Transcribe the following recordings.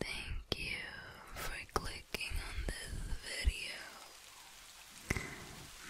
Thank you for clicking on this video.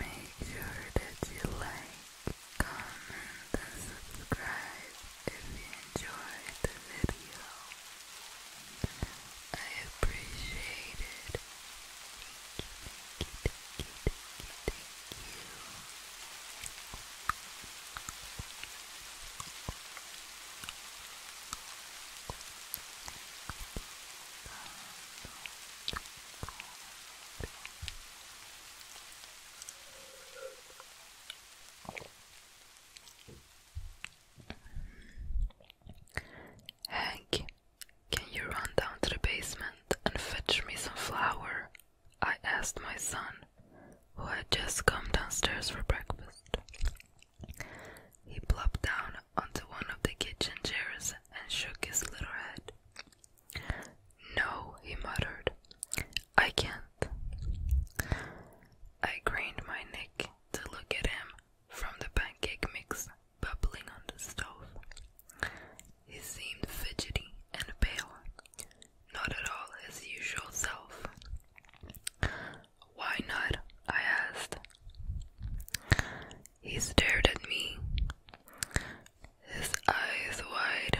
Make sure that you like, comment, and subscribe if you enjoyed the video. I appreciate it. Hank, can you run down to the basement and fetch me some flour? I asked my son who had just come downstairs for breakfast. He plopped down onto one of the kitchen chairs and shook his little head. No, he muttered, I can't. I craned my neck to look at him from the pancake mix bubbling on the stove. He seemed fidgety and pale, not at all his usual self. Why not? I asked. He stared at me, his eyes wide.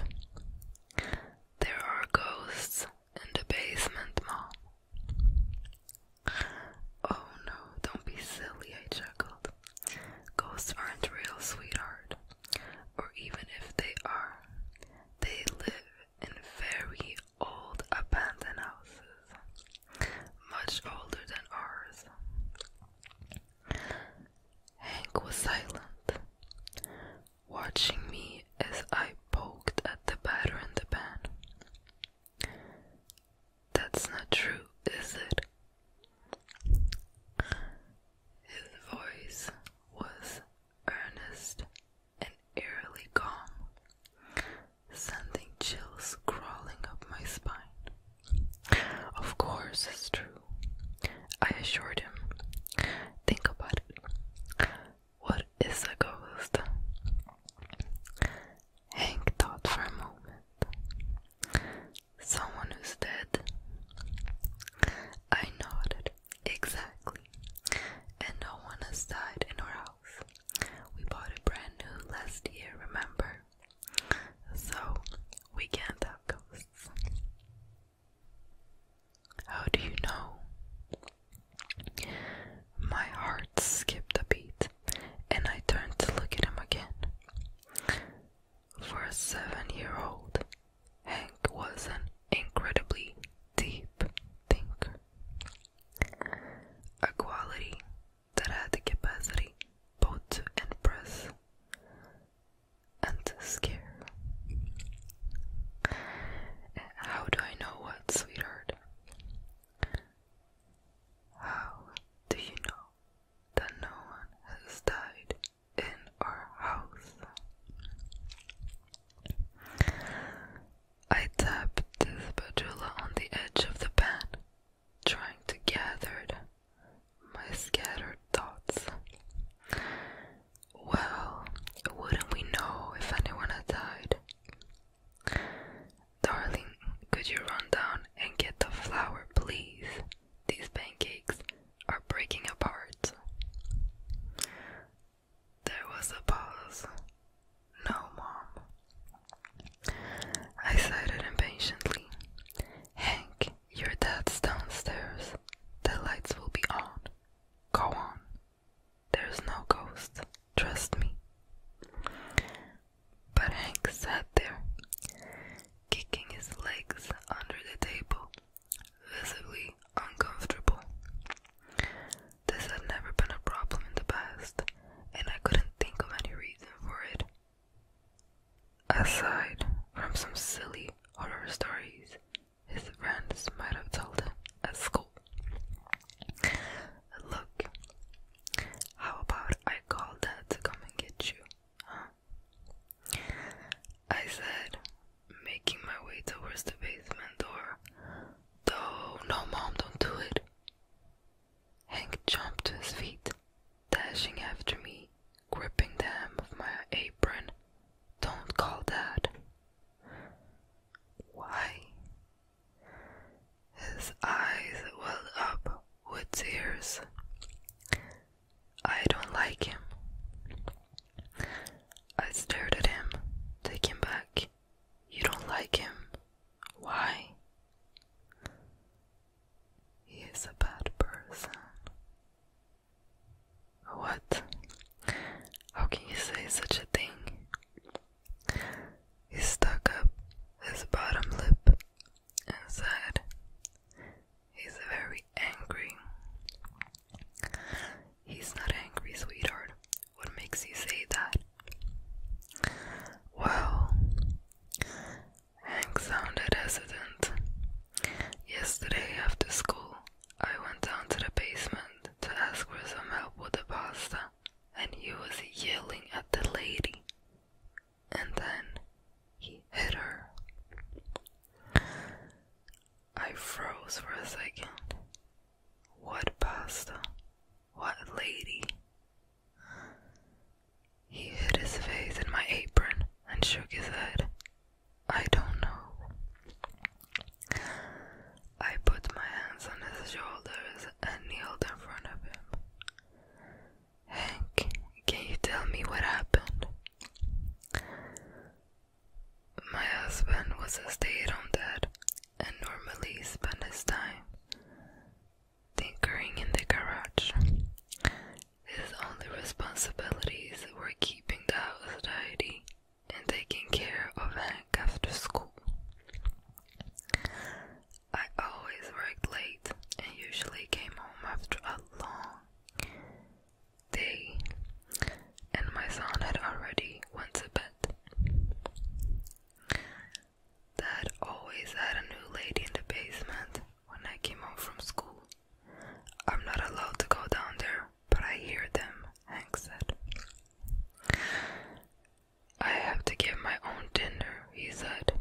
There are ghosts in the basement, Mom. Oh no, don't be silly, I chuckled. Ghosts aren't real, sweetheart. Or even if they are, they live in very old abandoned houses, much older than ours. Hank was silent, watching me as I poked at the batter in the pan. That's not true, is it? His voice was earnest and eerily calm, sending chills crawling up my spine. Of course, it's true, I assured him. Think about it. What is a ghost? Hank thought for a moment. Someone who's dead. I nodded. Exactly. And no one has died in our house. We bought it brand new last year, remember? So we can't have ghosts. How do you know? My heart skipped a beat and I turned to look at him again. For a seven year old, Hank was an incredibly deep thinker, a quality that had the capacity both to impress and scare. How do I know what, sweetheart? How do you know that no one has died in our house? I tapped the spatula on the edge of the pan, trying to gather my scattered thoughts. Well, wouldn't we know if anyone had died? Darling, could you run down and get the flour, please? These pancakes are breaking apart. There was a pause. No, Mom. I said it impatiently. Hank, your dad's downstairs. The lights will be on. Go on. There's no ghost. Trust me. But Hank sat there, kicking his legs under the table visibly uncomfortable. This had never been a problem in the past, and I couldn't think of any reason for it. Aside from some silly horror stories his friends might have told him at school. Look, how about I call Dad to come and get you, I said, making my way towards the basement door, though, no, Mom, don't do it. Hank jumped to his feet, dashing after me, gripping the hem of my apron. Don't call Dad. Why? His eyes well up with tears. I don't like him. I stared at him, taken back. You don't like him. Why? He is a bad person. What? How can you say such a thing? He stuck up his bottom lip and said, He's very angry. He's not angry, sweetheart. What makes you say that? Well, Hank sounded hesitant. Yesterday after school, I went down to the basement to ask for some help with the pasta, and he was yelling at the lady. And then he hit her. I froze for a second. What pasta? What lady? He hid his face in my apron and shook his head. I don't know. I put my hands on his shoulders and kneeled in front of him. Hank, can you tell me what happened? My husband was a stay at home dad and normally spent his time tinkering in the garage. His only responsibilities were keeping the house tidy and taking care of Hank after school. I always worked late and usually came home after a long they and my son had already went to bed. Dad always had a new lady in the basement when I came home from school. I'm not allowed to go down there, but I hear them, Hank said. I have to give my own dinner, he said,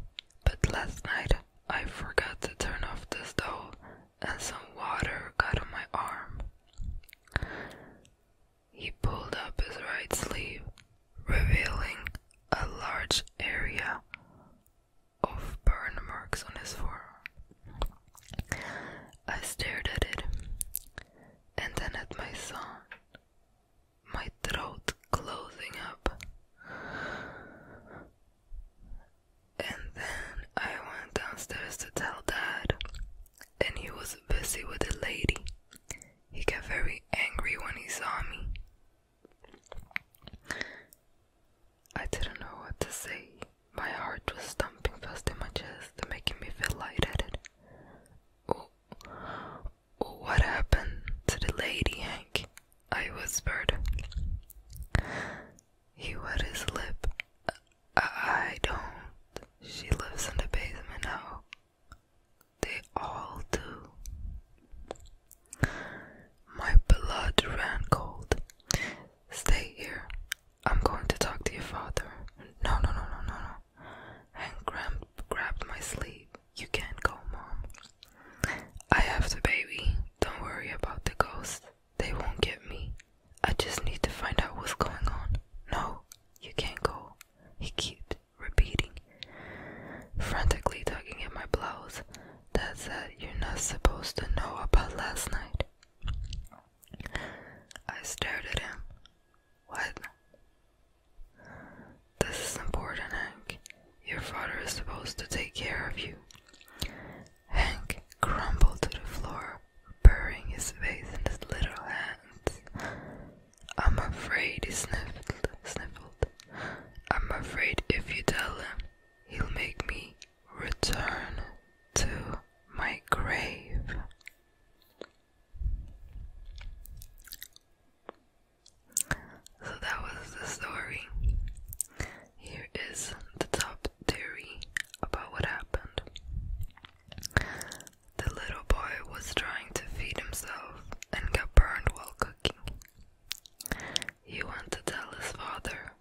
but last night I forgot to turn off the stove and some water got on my arm. He pulled up his right sleeve, revealing a large area of burn marks on his forearm. I stared at it and then at my son, my throat closing up. And then I went downstairs to tell dad, and he was busy with the lady. He got very angry when he saw me. I didn't know what to say. My heart was thumping fast in my chest, making me feel lightheaded. Oh, oh what happened to the lady, Hank? I whispered. He wet his lip. I don't. She lives in the basement now. They all do. My blood ran cold. Stay here. I'm going to talk to your father. No, no, no, no, no, no. Hank grabbed my sleeve. You can't go, Mom. I have the baby. Don't worry about the ghost. They won't get me. I just need to find out what's going on. No, you can't go. He kept repeating, frantically tugging at my blouse. That's that you're not supposed to know about last night. I stared at him. What? This is important, Hank. Your father is supposed to take care of you. Hank crumbled to the floor, burying his face in his little hands. I'm afraid, he sniffled, sniffled. I'm afraid if you tell him, he'll make me return to my grave. So that was the story. Is the top theory about what happened. The little boy was trying to feed himself and got burned while cooking. He went to tell his father,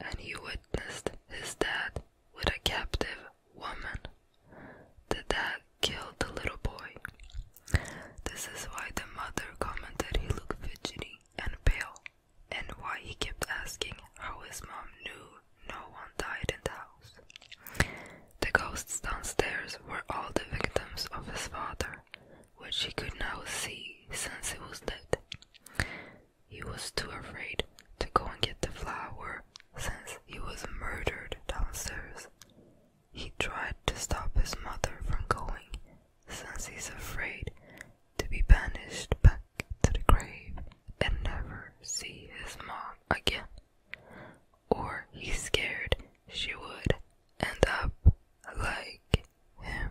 and he witnessed his dad with a captive woman. The dad killed the little boy. This is why the mother commented he looked fidgety and pale and why he kept asking how his mom knew no one died in the house. The ghosts downstairs were all the victims of his father, which he could now see since he was dead. He was too afraid to go and get the flower since he was murdered downstairs. He tried to stop his mother from going since he's afraid to be banished back to the grave and never see his mom again. Or he's scared she would end up like him.